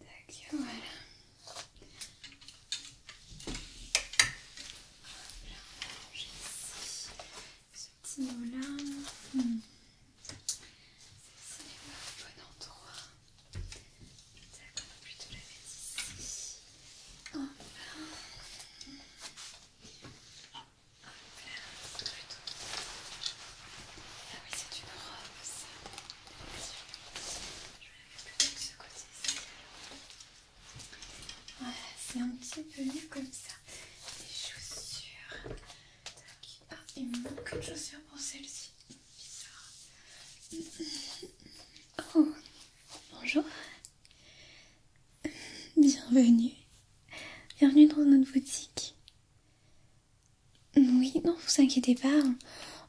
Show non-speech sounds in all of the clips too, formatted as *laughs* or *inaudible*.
Tac, voilà. J'ai ici ce petit mot-là. Celle-ci n'est pas au bon endroit. Tac, on va plutôt la mettre ici. Hop là. c'est plutôt. Ah oui, c'est une robe, ça c'est un petit peu mieux comme ça. Les chaussures. Tac. Ah, il manque une pour celle-ci. Bizarre. Oh, bonjour. Bienvenue. Bienvenue dans notre boutique. Oui, non, vous inquiétez pas.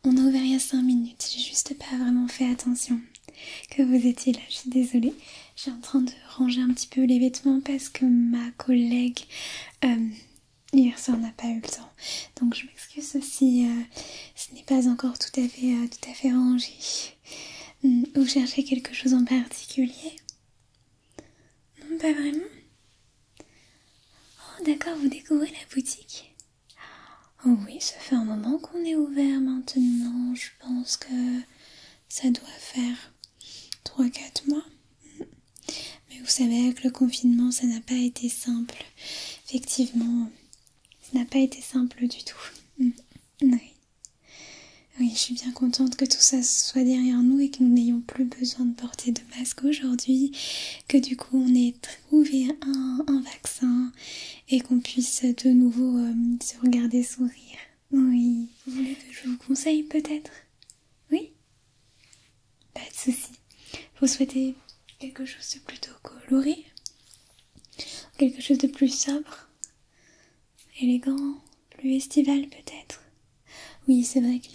On a ouvert il y a 5 minutes. J'ai juste pas vraiment fait attention que vous étiez là. Je suis désolée. J'ai en train de ranger un petit peu les vêtements parce que ma collègue euh, hier soir n'a pas eu le temps. Donc je m'excuse si euh, ce n'est pas encore tout à fait, euh, tout à fait rangé. Hmm, vous cherchez quelque chose en particulier Non, pas vraiment. Oh, d'accord, vous découvrez la boutique. Oh oui, ça fait un moment qu'on est ouvert maintenant. Je pense que ça doit faire 3-4 mois. Mais vous savez, avec le confinement, ça n'a pas été simple. Effectivement, ça n'a pas été simple du tout. Mm. Oui. Oui, je suis bien contente que tout ça soit derrière nous et que nous n'ayons plus besoin de porter de masque aujourd'hui, que du coup on est trouver un, vaccin et qu'on puisse de nouveau euh, se regarder sourire. Oui. Vous voulez que je vous conseille peut-être Oui Pas de souci. Vous souhaitez quelque chose de plutôt coloré Quelque chose de plus sobre Élégant Plus estival peut-être Oui, c'est vrai que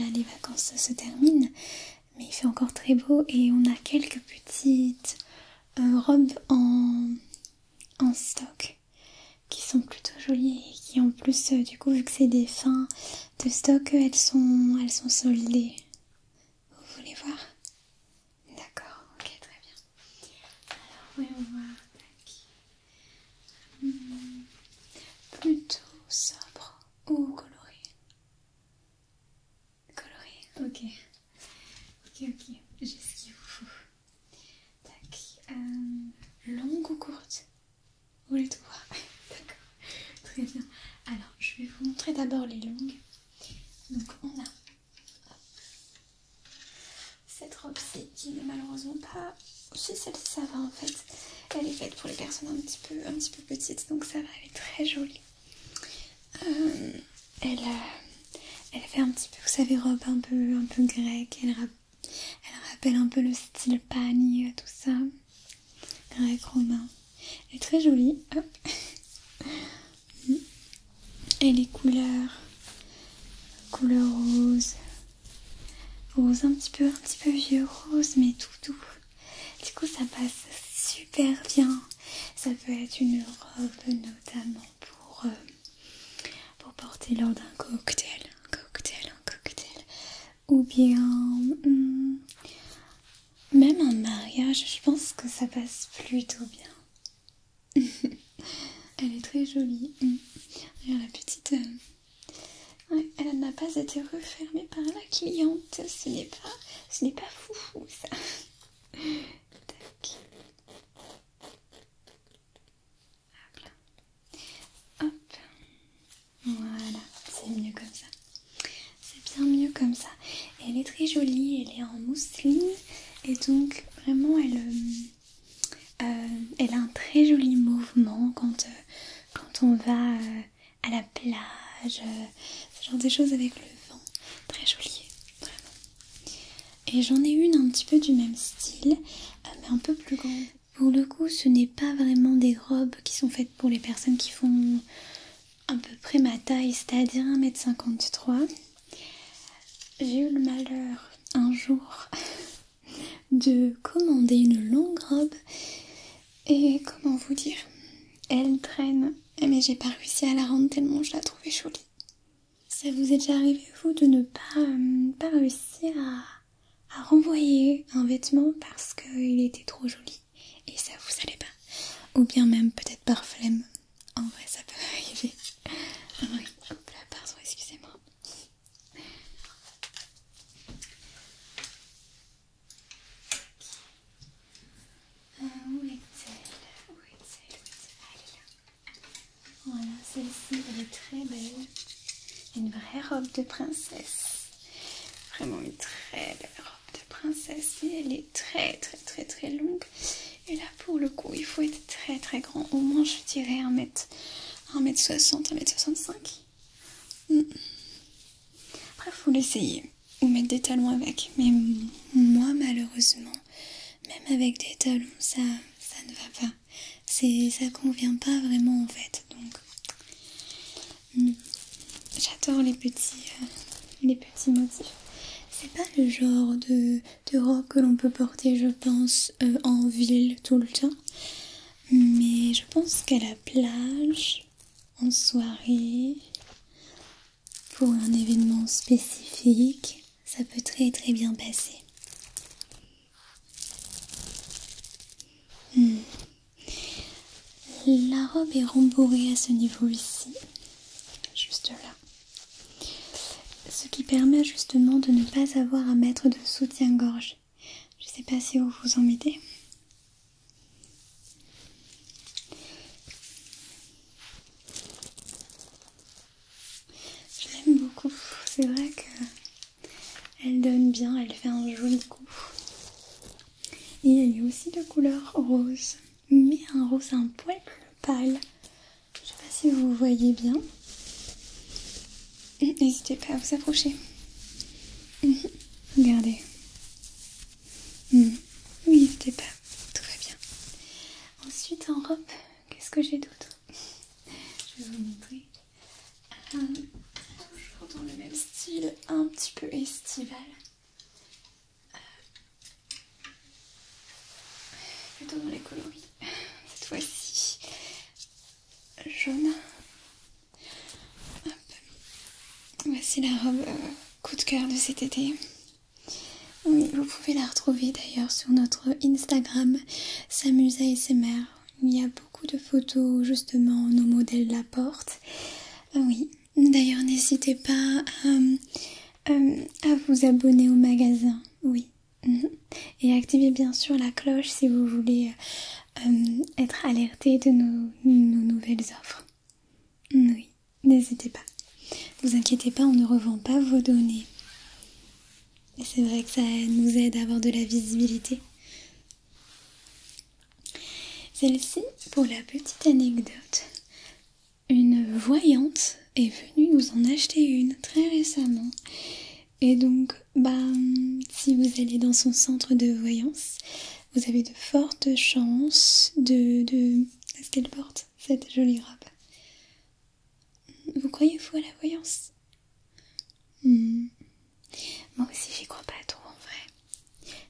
là les vacances se terminent mais il fait encore très beau et on a quelques petites euh, robes en, en stock qui sont plutôt jolies et qui en plus euh, du coup vu que c'est des fins de stock euh, elles sont elles sont soldées vous voulez voir d'accord ok très bien alors voyons voir hmm, plutôt sobre ou colorée Coloré, ok. Ok, ok, j'ai ce qu'il faut. Tac. Euh, longue ou courte Ou les *laughs* D'accord, très bien. Alors, je vais vous montrer d'abord les longues. Donc, on a cette robe-ci qui n'est malheureusement pas. Si celle-ci, ça va en fait. Elle est faite pour les personnes un petit peu, un petit peu petites, donc ça va, elle est très jolie. Euh, elle, elle fait un petit peu, vous savez, robe un peu, grecque. Elle, rappelle un peu le style pagne, euh, tout ça. Grec romain. Elle est très jolie. *laughs* Et les couleurs. Couleur rose. Rose un petit peu, un petit peu vieux rose, mais tout doux. Du coup, ça passe super bien. Ça peut être une robe notamment pour, euh, porter lors d'un cocktail, un cocktail, un cocktail. Ou bien hmm, même un mariage, je pense que ça passe plutôt bien. *laughs* Elle est très jolie. Regarde hmm. la petite... Euh, elle n'a pas été refermée par la cliente. Ce n'est pas, ce n'est pas ça. Voilà, c'est mieux comme ça. C'est bien mieux comme ça. elle est très jolie, elle est en mousseline et donc vraiment elle, euh, euh, elle a un très joli mouvement quand, euh, quand on va à la plage, euh, ce genre des choses avec le vent, très joli, vraiment. Et j'en ai une un petit peu du même style, euh, mais un peu plus grande. Pour le coup, ce n'est pas vraiment des robes qui sont faites pour les personnes qui font à peu près ma taille, c'est-à-dire 1m53. J'ai eu le malheur un jour *laughs* de commander une longue robe et comment vous dire Elle traîne, mais j'ai pas réussi à la rendre tellement je la trouvais jolie. Ça vous est déjà arrivé, vous, de ne pas, euh, réussir à, renvoyer un vêtement parce qu'il était trop joli et ça vous allait pas Ou bien même peut-être par flemme. En vrai, ça peut *laughs* arriver. Ah oui, pardon, excusez-moi. Euh, où est-elle Où est-elle est Voilà, celle-ci, elle est très belle. Une vraie robe de princesse. Vraiment une très belle robe de princesse. Et elle est très très très très longue. Et là, pour le coup, il faut être très très grand. Au moins, je dirais 1 m 60 1 1m65. Après, faut l'essayer ou mettre des talons avec. Mais moi, malheureusement, même avec des talons, ça, ça ne va pas. C'est, ça convient pas vraiment en fait. Donc, hmm, j'adore les petits, euh, les petits motifs. C'est pas le genre de, rock robe que l'on peut porter, je pense, euh, en ville tout le temps. Mais je pense qu'à la plage, en soirée, pour un événement spécifique, ça peut très très bien passer. Hmm. La robe est rembourrée à ce niveau ici, juste là. Ce qui permet justement de ne pas avoir à mettre de soutien-gorge. Je sais pas si vous vous en mettez. Je l'aime beaucoup, c'est vrai qu'elle donne bien, elle fait un joli coup. Et elle est aussi de couleur rose, mais un rose un poil plus pâle. Je ne sais pas si vous voyez bien. N'hésitez pas à vous approcher. Mhm. Regardez. Hmm. Oui, était pas très bien. Ensuite, en robe, qu'est-ce que j'ai d'autre Je vais vous montrer. Hum. toujours dans le même style, un petit peu estival. Euh, plutôt dans les coloris, cette fois-ci. Jaune, Voici la robe euh, coup de cœur de cet été. Oui, vous pouvez la retrouver d'ailleurs sur notre Instagram Samusa SMR. Il y a beaucoup de photos justement nos modèles la porte. Oui, d'ailleurs n'hésitez pas euh, euh, à, vous abonner au magasin. Oui. Mhm. Et activez bien sûr la cloche si vous voulez être alerté de nos nouvelles offres. Oui, n'hésitez pas. Vous inquiétez pas, on ne revend pas vos données. Et c'est vrai que ça nous aide à avoir de la visibilité. Celle-ci, pour la petite anecdote, une voyante est venue nous en acheter une très récemment. Et donc, bah, si vous allez dans son centre de voyance, vous avez de fortes chances de... de... Est-ce qu'elle porte cette jolie robe Vous croyez-vous à la voyance hmm. Moi aussi j'y crois pas trop en vrai.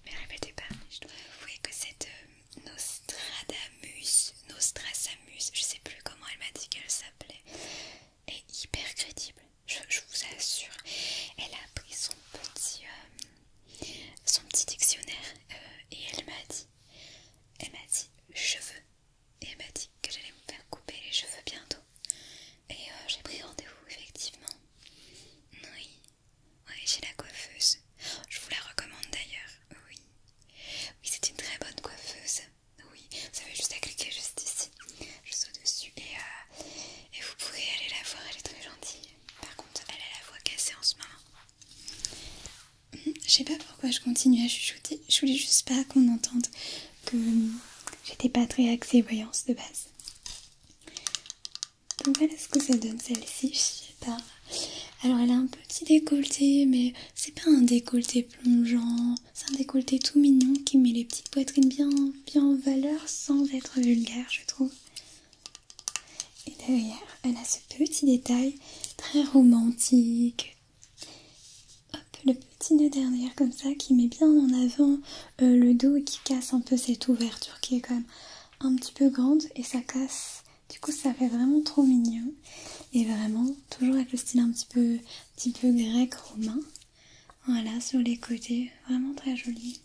Mais ne répétez pas, je dois avouer que cette euh, Nostradamus, Nostrasamus, je sais plus comment elle m'a dit qu'elle s'appelait, est hyper crédible. Je, vous assure, elle a pris son petit euh, son petit dictionnaire euh, et elle m'a dit, elle m'a dit cheveux et elle m'a dit que j'allais me faire couper les cheveux bientôt et euh, j'ai pris rendez-vous effectivement. Oui, oui j'ai la coiffeuse. Je vous la recommande d'ailleurs. Oui, oui c'est une très bonne coiffeuse. Oui, ça avez juste à cliquer juste ici, juste au-dessus et, euh, et vous pouvez aller la voir, elle est très gentille. Par contre, elle a la voix cassée en ce moment. Mhm. Je sais pas pourquoi je continue à chuchoter. Je voulais juste pas qu'on entende que j'étais pas très axée voyance de base. voilà ce que ça donne celle-ci, je sais pas. Alors elle a un petit décolleté, mais c'est pas un décolleté plongeant, c'est un décolleté tout mignon qui met les petites poitrines bien, bien en valeur sans être vulgaire, je trouve. Et derrière, elle a ce petit détail très romantique. Hop, le petit nœud derrière comme ça qui met bien en avant euh, le dos et qui casse un peu cette ouverture qui est quand même un petit peu grande et ça casse. Du coup, ça fait vraiment trop mignon. Et vraiment, toujours avec le style un petit peu grec, romain. Voilà, sur les côtés, vraiment très joli.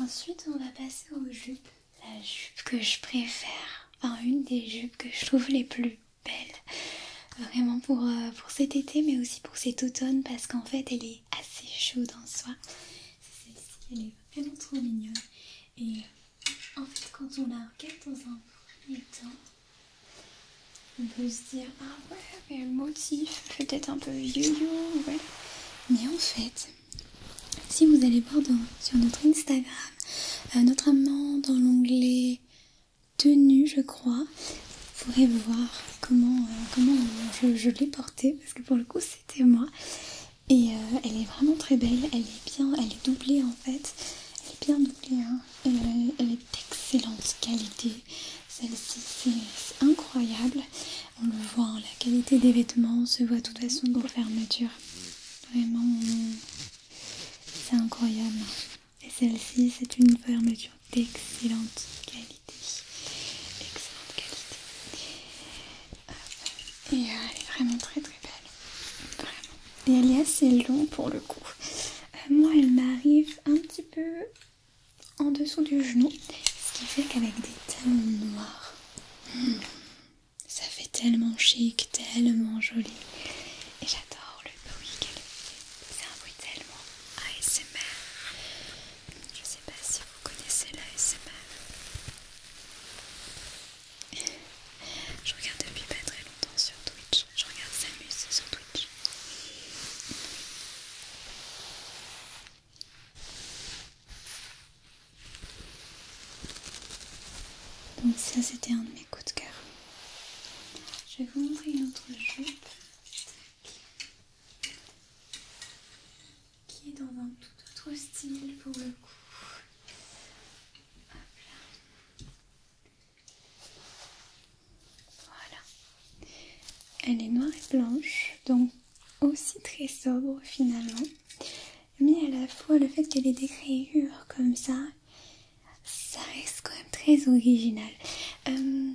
Ensuite, on va passer aux jupes. La jupe que je préfère, enfin une des jupes que je trouve les plus belles, vraiment pour, euh, pour cet été, mais aussi pour cet automne, parce qu'en fait, elle est assez chaude en soi. C'est Celle-ci, elle est vraiment trop mignonne. Et en fait, quand on la regarde dans un premier temps, on peut se dire Ah ouais, mais le motif peut-être un peu vieux, ouais ». Mais en fait, si vous allez voir sur notre Instagram, euh, notre notamment dans l'onglet tenue, je crois, vous pourrez voir comment, euh, comment euh, je, l'ai portée parce que pour le coup c'était moi et euh, elle est vraiment très belle elle est bien elle est doublée en fait elle est bien doublée hein. elle, est d'excellente qualité celle-ci c'est incroyable on le voit hein, la qualité des vêtements se voit de toute façon dans fermeture vraiment c'est incroyable et celle-ci c'est une fermeture d'excellente qualité. Excellente qualité. Ah, et euh, elle est vraiment très très belle. Vraiment. Et elle est assez longue pour le coup. Euh, moi, elle m'arrive un petit peu en dessous du genou. Ce qui fait qu'avec des talons noirs, hmm, ça fait tellement chic, tellement joli. Et j'adore le bruit qu'elle fait. C'est un bruit tellement ASMR. Je sais pas si vous connaissez l'ASMR. *laughs* Je regarde depuis pas très longtemps sur Twitch. Je regarde Samus sur Twitch. Donc ça c'était un de mes coups de cœur. Je vais vous montrer une autre jupe qui est dans un tout autre style pour le coup. Voilà. Elle est noire et blanche, donc aussi très sobre finalement. Mais à la fois le fait qu'elle ait des créures comme ça, ça reste quand même très original. Euh,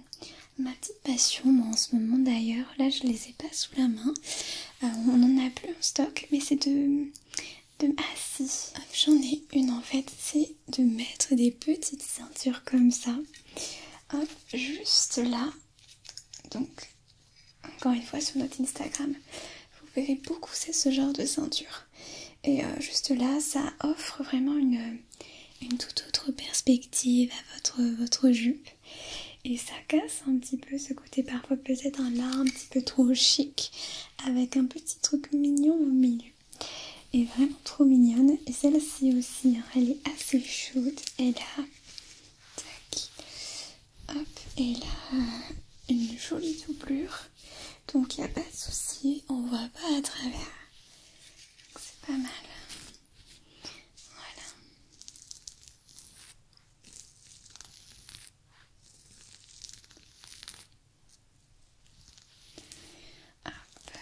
ma petite passion en ce moment d'ailleurs. Là, je les ai pas sous la main. Euh, on en a plus en stock, mais c'est de... de... Ah j'en ai une en fait. C'est de mettre des petites ceintures comme ça. juste là. Donc, encore une fois, sur notre Instagram, vous verrez beaucoup c'est ce genre de ceinture. Et euh, juste là, ça offre vraiment une une toute autre perspective à votre, jupe et ça casse un petit peu ce côté parfois peut-être un lard un petit peu trop chic avec un petit truc mignon au milieu et vraiment trop mignonne et celle-ci aussi hein, elle est assez chaude elle a hop et là une jolie doublure donc il n'y a pas de souci on voit pas à travers c'est pas mal voilà. après...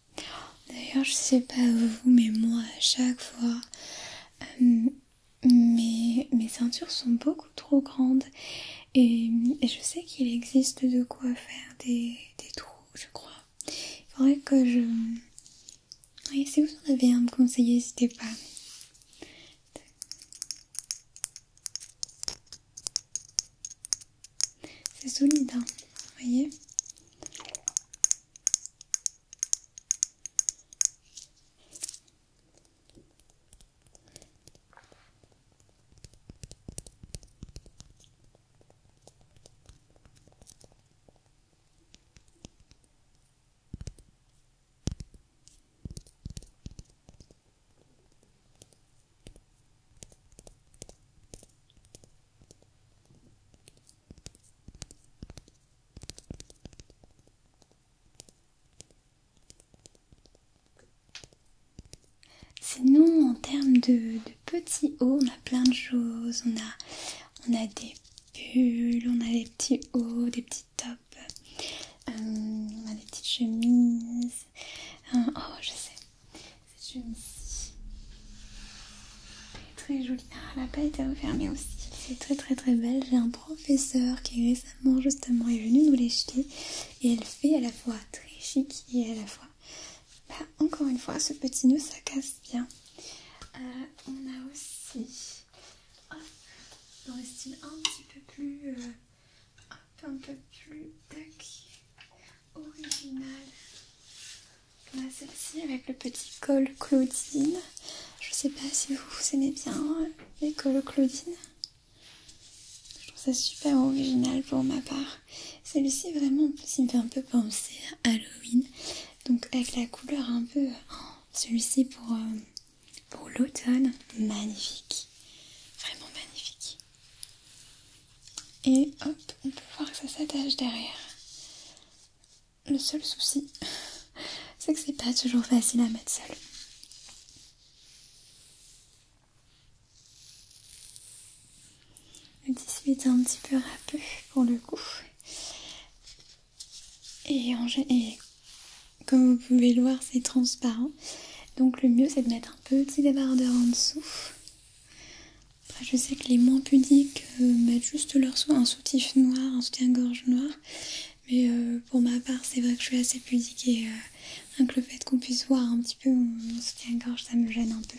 D'ailleurs, je sais pas vous, mais moi, à chaque fois, euh, mes, ceintures sont beaucoup trop grandes. Et, je sais qu'il existe de quoi faire des, des trous, je crois. Il faudrait que je. Oui, si vous en avez un me conseiller, n'hésitez pas. C'est solide, vous hein, voyez Sinon, en termes de, petits hauts, on a plein de choses. On a, on a des pulls, on a des petits hauts, des petits tops, euh, on a des petites chemises. Euh, oh, je sais, c'est une Très jolie. La ah, elle est pas été refermée aussi. C'est très très très belle. J'ai un professeur qui récemment justement est venu nous les Et elle fait à la fois très chic et à la fois... Bah, encore une fois, ce petit noeud ça casse bien. Euh, on a aussi... Hop, dans le style un petit peu plus... Euh, un peu plus... Tac original. On celle-ci avec le petit col Claudine. Je sais pas si vous aimez bien euh, les cols Claudine. Je trouve ça super original pour ma part. Celui-ci, vraiment, ça me fait un peu penser à Halloween. Donc, avec la couleur un peu. Oh, celui-ci euh, pour l'automne. Magnifique. Vraiment magnifique. Et hop, on peut voir que ça s'attache derrière. Le seul souci, *laughs* c'est que c'est pas toujours facile à mettre seul. Le tissu un petit peu rapide pour le coup. Et, en, et comme vous pouvez le voir, c'est transparent. Donc le mieux, c'est de mettre un petit débardeur en dessous. Bah, je sais que les moins pudiques euh, mettent juste leur un soutif noir, un soutien-gorge noir. Mais euh, pour ma part, c'est vrai que je suis assez pudique et que euh, le fait qu'on puisse voir un petit peu mon soutien-gorge, ça me gêne un peu.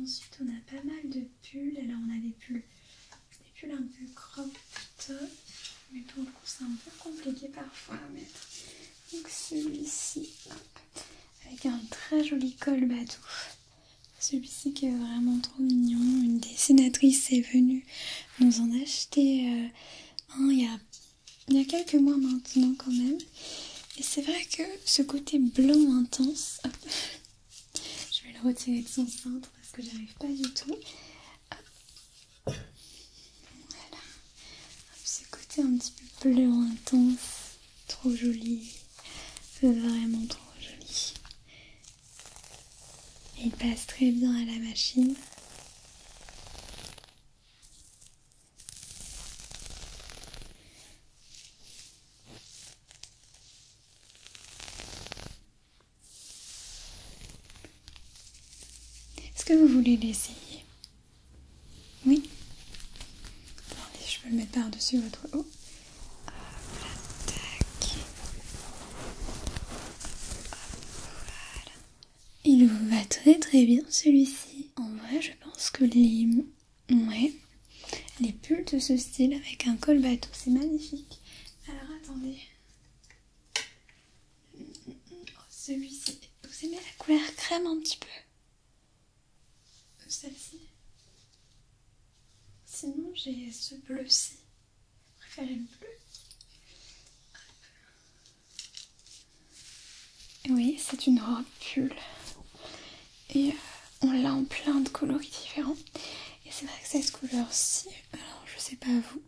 Ensuite, on a pas mal de pulls. Alors, on a des pulls, un peu crop top, mais pour le coup, c'est un peu compliqué parfois à mettre. Donc, celui-ci, avec un très joli col batou. Celui-ci qui est vraiment trop mignon. Une dessinatrice est venue nous en acheter euh, un il y a il y a quelques mois maintenant quand même. Et c'est vrai que ce côté blanc intense, hop, *laughs* je vais le retirer de son centre parce que j'arrive pas du tout. Voilà, ce côté un petit peu blanc intense, trop joli, vraiment trop joli. il passe très bien à la machine. Est-ce que vous voulez l'essayer Oui Attendez, je vais le mettre par-dessus votre haut. Ah, il vous va très très bien celui-ci. En vrai, je pense que les... Ouais. Les pulls de ce style avec un col bateau, c'est magnifique. Alors attendez. Oh, celui-ci. Vous aimez la couleur crème un petit peu Celle-ci. Sinon, j'ai ce bleu-ci. Préférez le bleu. Oui, c'est une robe pull. Et euh, on l'a en plein de coloris différents. Et c'est vrai que cette couleur-ci, alors je sais pas vous,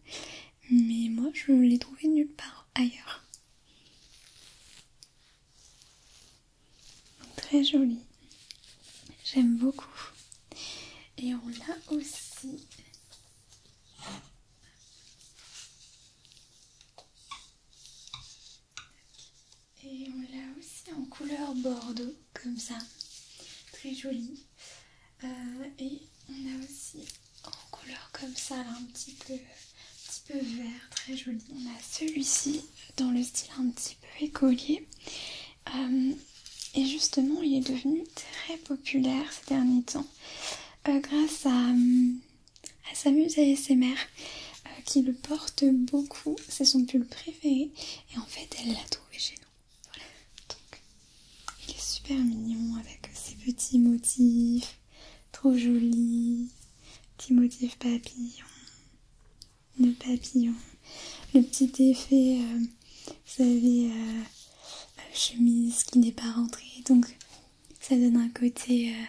mais moi je l'ai trouvée nulle part ailleurs. très jolie. J'aime beaucoup. Et on l'a aussi et on l'a aussi en couleur bordeaux, comme ça, très joli. Euh, et on a aussi en couleur comme ça, un petit peu, un petit peu vert, très joli. On a celui-ci dans le style un petit peu écolier. Euh, et justement, il est devenu très populaire ces derniers temps euh, grâce à hum, à avec ses mères euh, qui le portent beaucoup. C'est son pull préféré et en fait elle l'a trouvé chez nous. Voilà. Donc, il est super mignon avec ses petits motifs, trop joli, Petit motif papillon, le papillon, le petit effet, euh, vous savez, euh, chemise qui n'est pas rentrée. Donc ça donne un côté euh,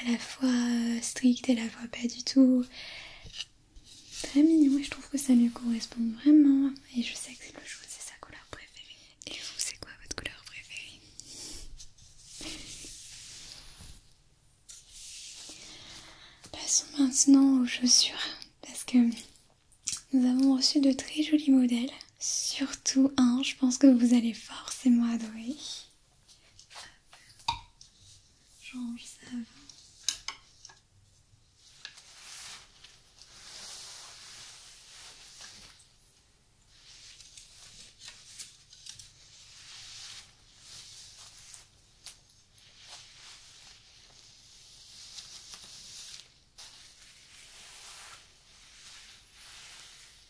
à la fois euh, strict et à la fois pas du tout. Très mignon et je trouve que ça lui correspond vraiment. Et je sais que le jaune c'est sa couleur préférée. Et vous, c'est quoi votre couleur préférée Passons maintenant aux chaussures parce que nous avons reçu de très jolis modèles Surtout un, je pense que vous allez forcément adorer.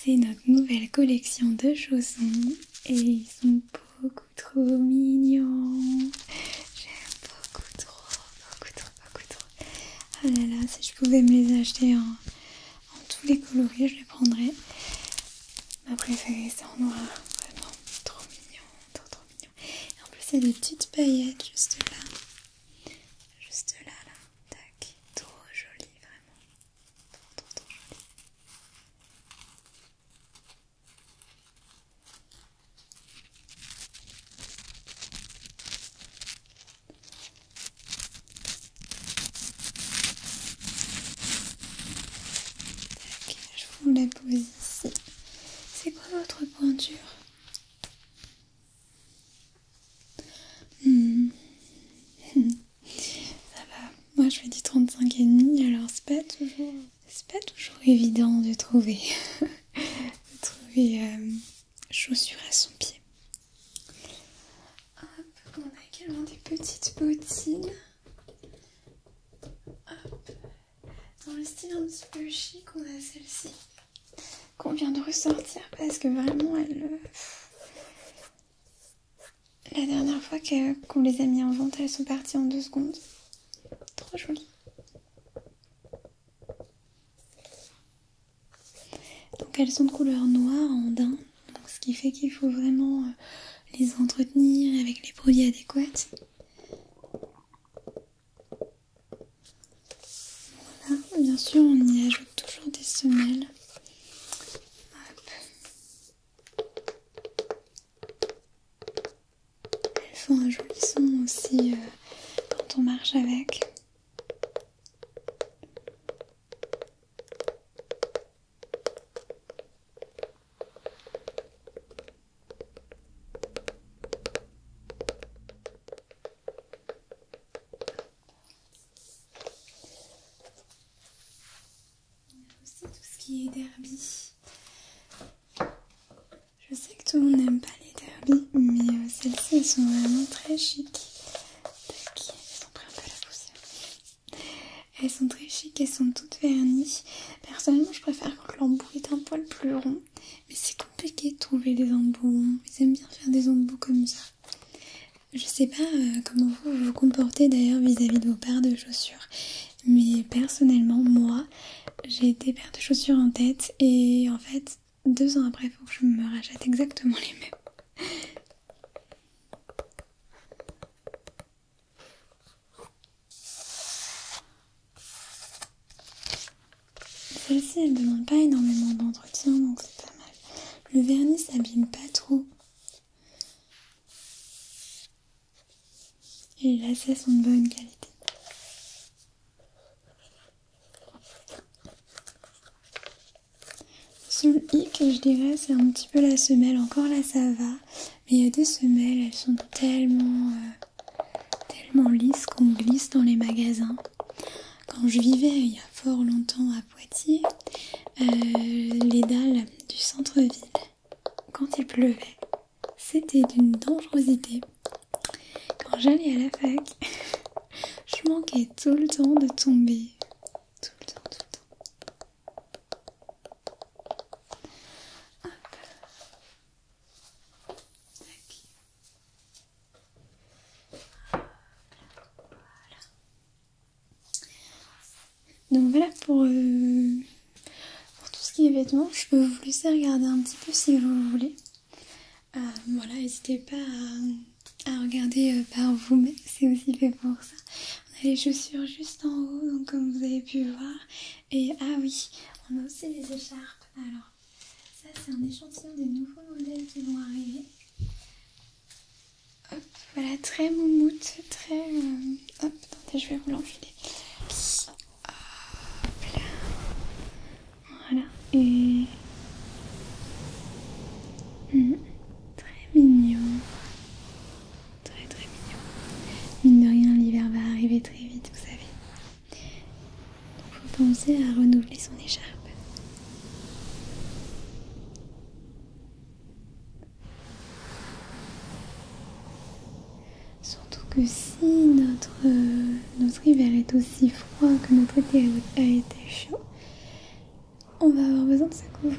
C'est notre nouvelle collection de chaussons et ils sont beaucoup trop mignons. J'aime beaucoup trop, beaucoup trop, beaucoup trop. Ah là là, si je pouvais me les acheter en, tous les coloris, je les prendrais. Ma préférée, c'est en noir. Vraiment trop mignon, trop trop mignon. Et en plus, il y a des petites paillettes juste là. Juste là, là. Tac. Trop joli, vraiment je vous la pose ici. C'est quoi votre pointure Hmm. *laughs* Ça va. Moi, je fais du 35 et demi, alors c'est pas toujours, toujours évident de trouver, *laughs* trouver euh, chaussures à son pied. Hop, on a également des petites bottines. Dans le style un petit peu chic, on a celle-ci qu'on vient de ressortir parce que vraiment elle, euh, la dernière fois qu'on les a mis en vente, elles sont parties en deux secondes. Trop jolies. Donc elles sont de couleur noire en daim, ce qui fait qu'il faut vraiment euh, les entretenir avec les produits adéquats. Voilà, bien sûr on y ajoute toujours des semelles elles font un joli son aussi euh, quand on marche avec a aussi tout ce qui est derby. Je sais que tout le monde n'aime pas les derbies, mais euh, celles-ci elles sont vraiment très chic. elles sont très chic, elles sont toutes vernies. Personnellement, je préfère quand l'embout est un poil plus rond, mais c'est compliqué de trouver des embouts Mais Ils bien faire des embouts comme ça. Je sais pas euh, comment vous vous comportez d'ailleurs vis-à-vis de vos paires de chaussures, mais personnellement, moi, j'ai des paires de chaussures en tête et en fait, deux ans après, il faut que je me rachète exactement les mêmes. Celle-ci, elle demande pas énormément d'entretien, donc c'est pas mal. Le vernis s'abîme pas trop. Et là, ça sont de bonne qualité. le hic, je dirais, c'est un petit peu la semelle. Encore là, ça va. Mais il y a des semelles, elles sont tellement, euh, tellement lisses qu'on glisse dans les magasins. Quand je vivais il y a fort longtemps Poitiers, euh, les dalles du centre-ville, quand il pleuvait, c'était d'une dangerosité. Quand j'allais à la fac, *laughs* je manquais tout le temps de tomber. Tout le temps, tout le temps. Donc voilà pour, euh, pour tout ce qui est vêtements. Je peux vous laisser regarder un petit peu si vous voulez. Euh, voilà, n'hésitez pas à, regarder euh, par vous-même, c'est aussi fait pour ça. On a les chaussures juste en haut, donc comme vous avez pu voir. Et ah oui, on a aussi les écharpes. Alors, ça c'est un échantillon des nouveaux modèles qui vont arriver. Hop, voilà, très moumoute, très... Euh, hop, attendez, je vais vous l'enfiler. Hop là. Voilà, et... Hmm, très mignon. Très très mignon. Mine de rien, l'hiver va arriver très vite, vous savez. Donc, faut penser à renouveler son écharpe. Surtout que si notre, hiver est aussi froid que notre été a été chaud, on va avoir besoin de se couvrir.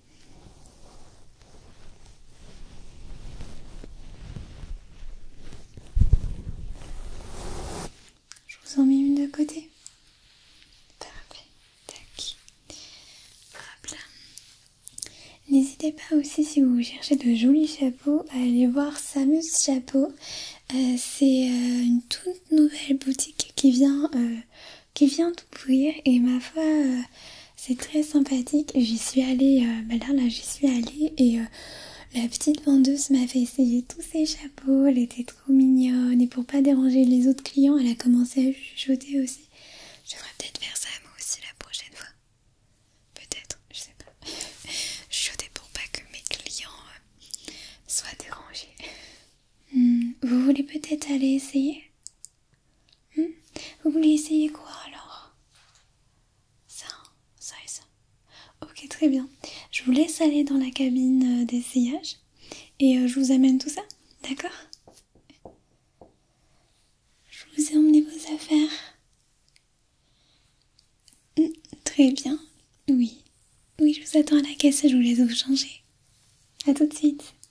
Je vous en mets une de côté. Parfait. Tac. Hop N'hésitez pas aussi si vous cherchez de jolis chapeaux à aller voir Samus Chapeau. Euh, c'est euh, une toute nouvelle boutique qui vient, tout euh, qui vient d'ouvrir et ma foi c'est très sympathique. J'y suis allée, euh, bah là, j'y suis allée et euh, la petite vendeuse m'a fait essayer tous ses chapeaux. Elle était trop mignonne et pour pas déranger les autres clients, elle a commencé à chuchoter aussi. Je peut-être faire ça moi aussi la prochaine fois. Peut-être, je sais pas. *laughs* chuchoter pour pas que mes clients euh, soient dérangés. Hmm, vous voulez peut-être aller essayer Hmm? Vous voulez essayer quoi alors Ça, ça et ça. Ok, très bien. Je vous laisse aller dans la cabine euh, d'essayage et euh, je vous amène tout ça, d'accord Je vous ai emmené vos affaires. Hmm, très bien, oui. Oui, je vous attends à la caisse et je vous laisse vous changer. A tout de suite.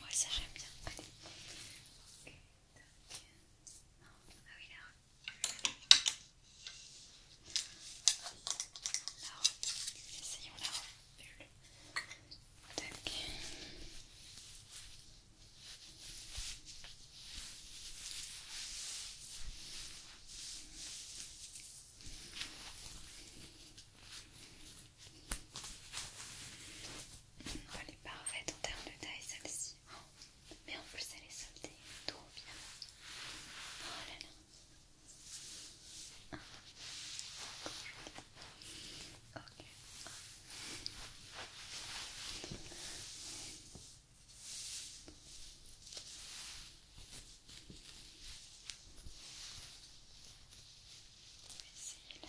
ouais, ça j'aime bien. Allez. Ah oui, la La Essayons la elle est parfaite en termes de taille celle-ci. Mais en plus elle est soldée, trop bien. Oh là Ok. essayer la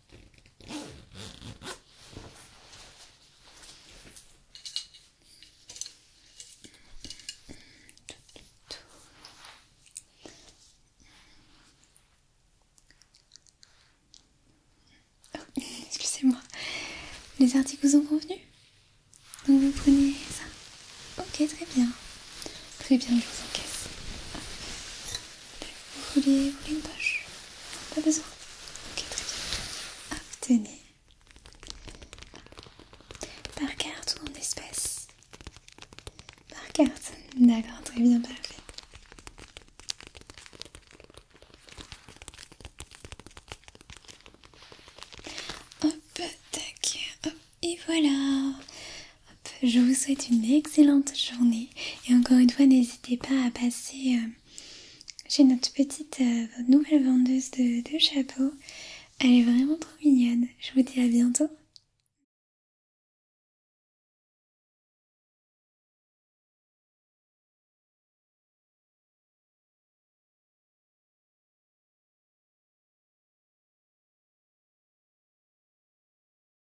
Oh, excusez-moi, les articles vous ont convenu Donc vous prenez ça Ok, très bien. Très bien, je vous encaisse. Ah, vous voulez, une poche Pas besoin Ok, très bien. Obtenez tenez. Par carte ou en espèces Par carte. D'accord, très bien, parfait. Hop, tac, hop, et voilà je vous souhaite une excellente journée et encore une fois n'hésitez pas à passer euh, chez notre petite euh, nouvelle vendeuse de, de chapeaux. Elle est vraiment trop mignonne. Je vous dis à bientôt.